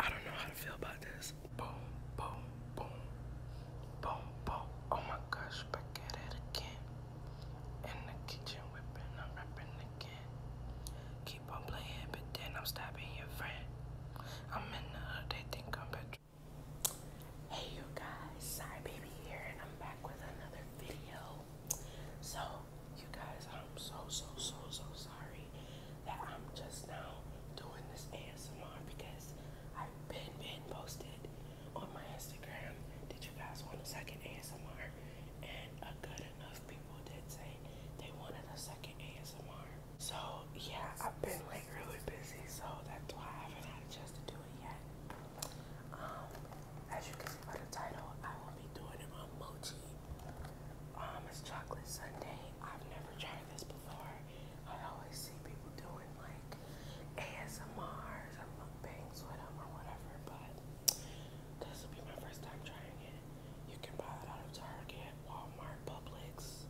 I don't know how to feel about this. Boom, boom, boom, boom, boom. Oh my gosh, back at it again. In the kitchen whipping, I'm rapping again. Keep on playing, but then I'm stabbing your friend. I'm in the hood, they think I'm better. Hey you guys, Sorry Baby here, and I'm back with another video so you guys, I'm so so so so sorry that I'm just now doing this ASMR because I've been been posted on my Instagram. Did you guys want a second ASMR? And a good enough people did say they wanted a second ASMR. So yeah, I've been like really busy, so that's why I haven't had a chance to do it yet. Um, as you can see by the title, I will be doing an mochi. Um, it's chocolate sundae. I've never tried this before. I always see people doing like ASMRs or mukbangs with them or whatever, but this will be my first time trying it. You can buy it out of Target, Walmart, Publix.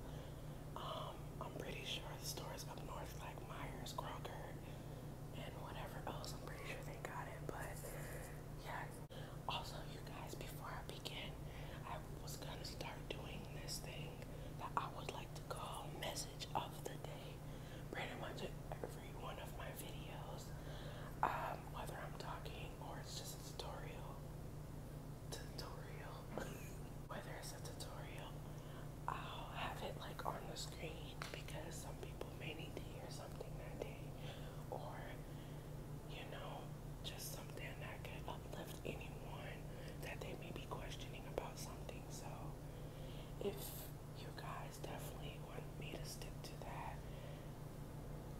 Um, I'm pretty sure the stores up north like Myers, Kroger, and whatever else. I'm pretty sure they got it, but yeah. Also, you guys, before I begin, I was gonna start doing this thing that I would like to call message of the day. Pretty much every one of my videos, um, whether I'm talking or it's just a tutorial, tutorial, whether it's a tutorial, I'll have it like on the screen because some people may need to hear something that day, or you know, just something that could uplift anyone that they may be questioning about something. So, if you guys definitely want me to stick to that,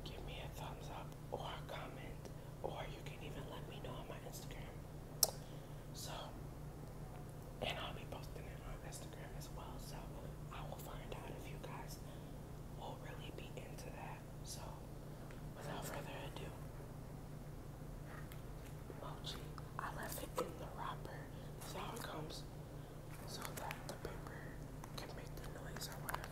give me a thumbs up or comment, or you can even let me know on my Instagram. So, and I'll be posting it on Instagram as well. So I will find out if you guys will really be into that. So without further ado, mochi. I left it in the wrapper. This is comes so that the paper can make the noise or whatever.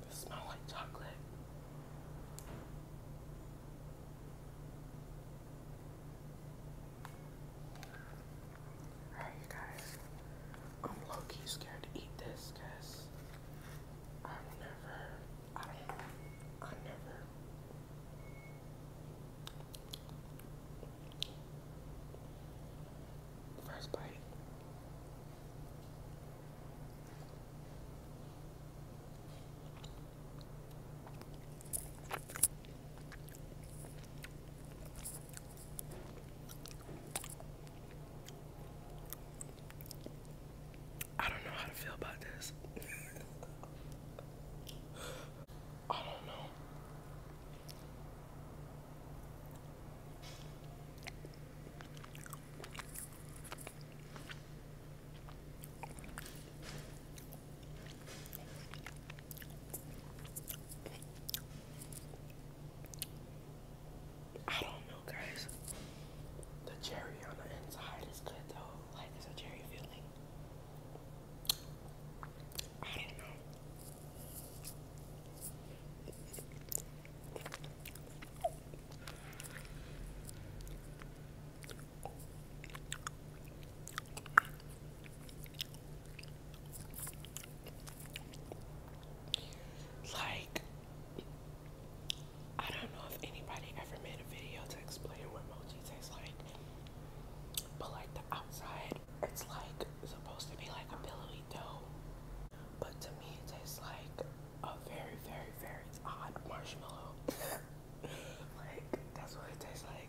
They smell like chocolate. Alright, you guys. I'm low key scared to eat this because I've never, I don't I never. First bite. I don't know how to feel about this. I don't know. I don't know, guys. The cherry on the inside is good though. Like it's a cherry feeling. I don't know. Like, I don't know if anybody ever made a video to explain what mochi tastes like, but like the outside, it's like supposed to be like a pillowy dough, but to me, it tastes like a very, very, very odd marshmallow. like, that's what it tastes like.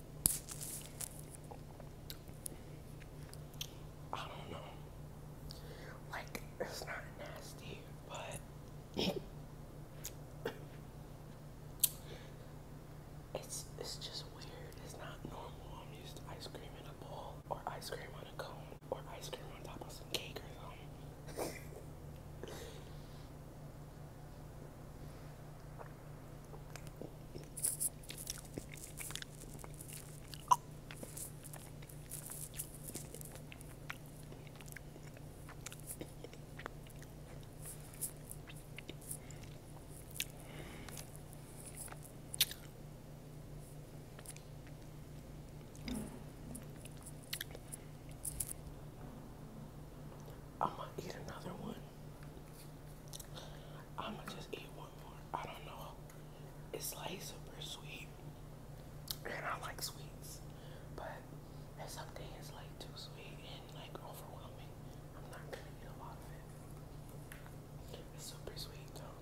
I don't know. Like, it's not nasty, but it's it's just weird. It's not normal. i used ice cream in a bowl, or ice cream on a cone, or ice cream on top of some cake or something. I'm gonna eat another one. I'm gonna just eat one more. I don't know. It's like super sweet, and I like sweets, but at some like too sweet and like overwhelming. I'm not gonna a lot of it. It's super sweet though.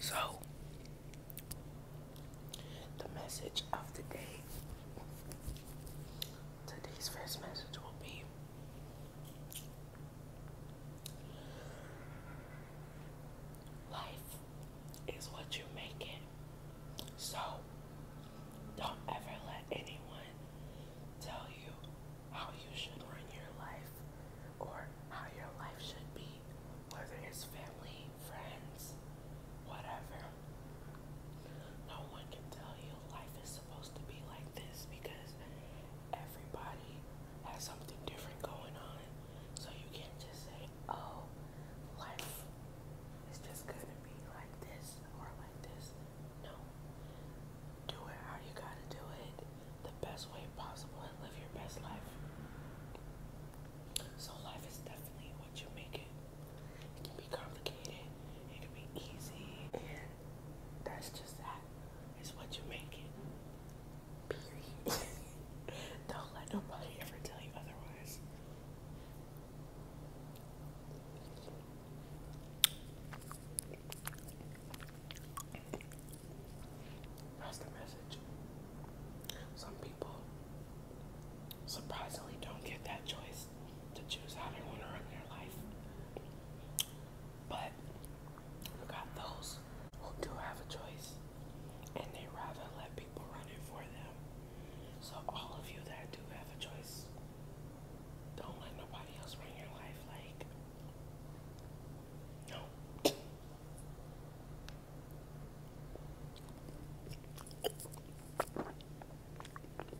So, the message of the day today's first message will be Life is what you make it. So don't ever let anyone tell you how you should run your life or how your life should be, whether it's family, friends, whatever. No one can tell you life is supposed to be like this because everybody has something different going on. So you can't just say, oh, life is just gonna be like this or like this. No. Do it how you gotta do it the best way possible and live your best life. So life is definitely what you make it. It can be complicated, it can be easy, and that's just that is what you make it. Don't let nobody ever tell you otherwise. That's the message. Some people surprisingly don't get that choice to choose how they want to run their life. But we got those who do have a choice and they rather let people run it for them. So, all of you that do have a choice, don't let nobody else run your life. Like, no.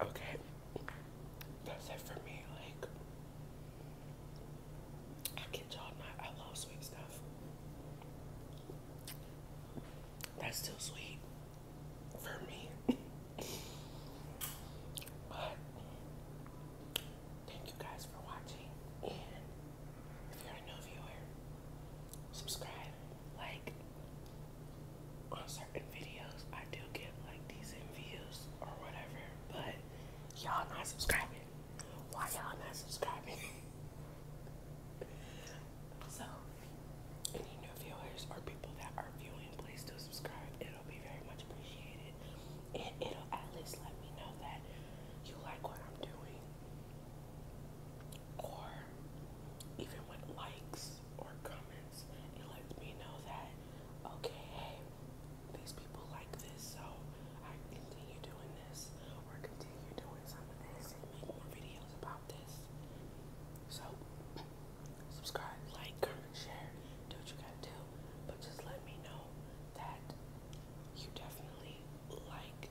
Okay, that's it for me. Like, I kid y'all not, I love sweet stuff. That's still sweet for me. but thank you guys for watching. And if you're a new viewer, subscribe, like on certain videos. I do get like decent views or whatever, but Y'all not subscribing. Why y'all not subscribing? so, any new viewers or people that are viewing, please do subscribe. It'll be very much appreciated. And it'll at least let me know that you like what I'm doing. Or even with likes or comments, it lets me know that, okay, these people like this, so I continue doing this or continue doing some of this and make more videos about this. So, subscribe, like, share, do what you gotta do, but just let me know that you definitely like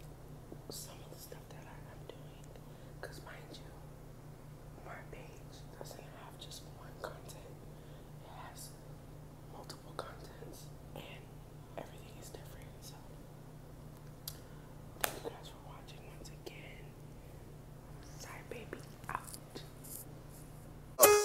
some of the stuff that I, am doing. Because, mind you, my page doesn't have just one content, it thank you guys for watching once again.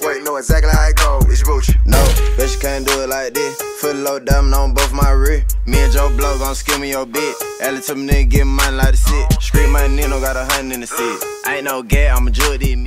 Wait, know exactly how it go. It's Booch. No, but you can't do it like this. Full load diamond on both my wrist. Me and Joe Blow gon' skin me your bit. Ellie to me nigga get mine like a sit. Street my Nino got a hundred in the seat. Ain't no gay, I'm a jewel, me.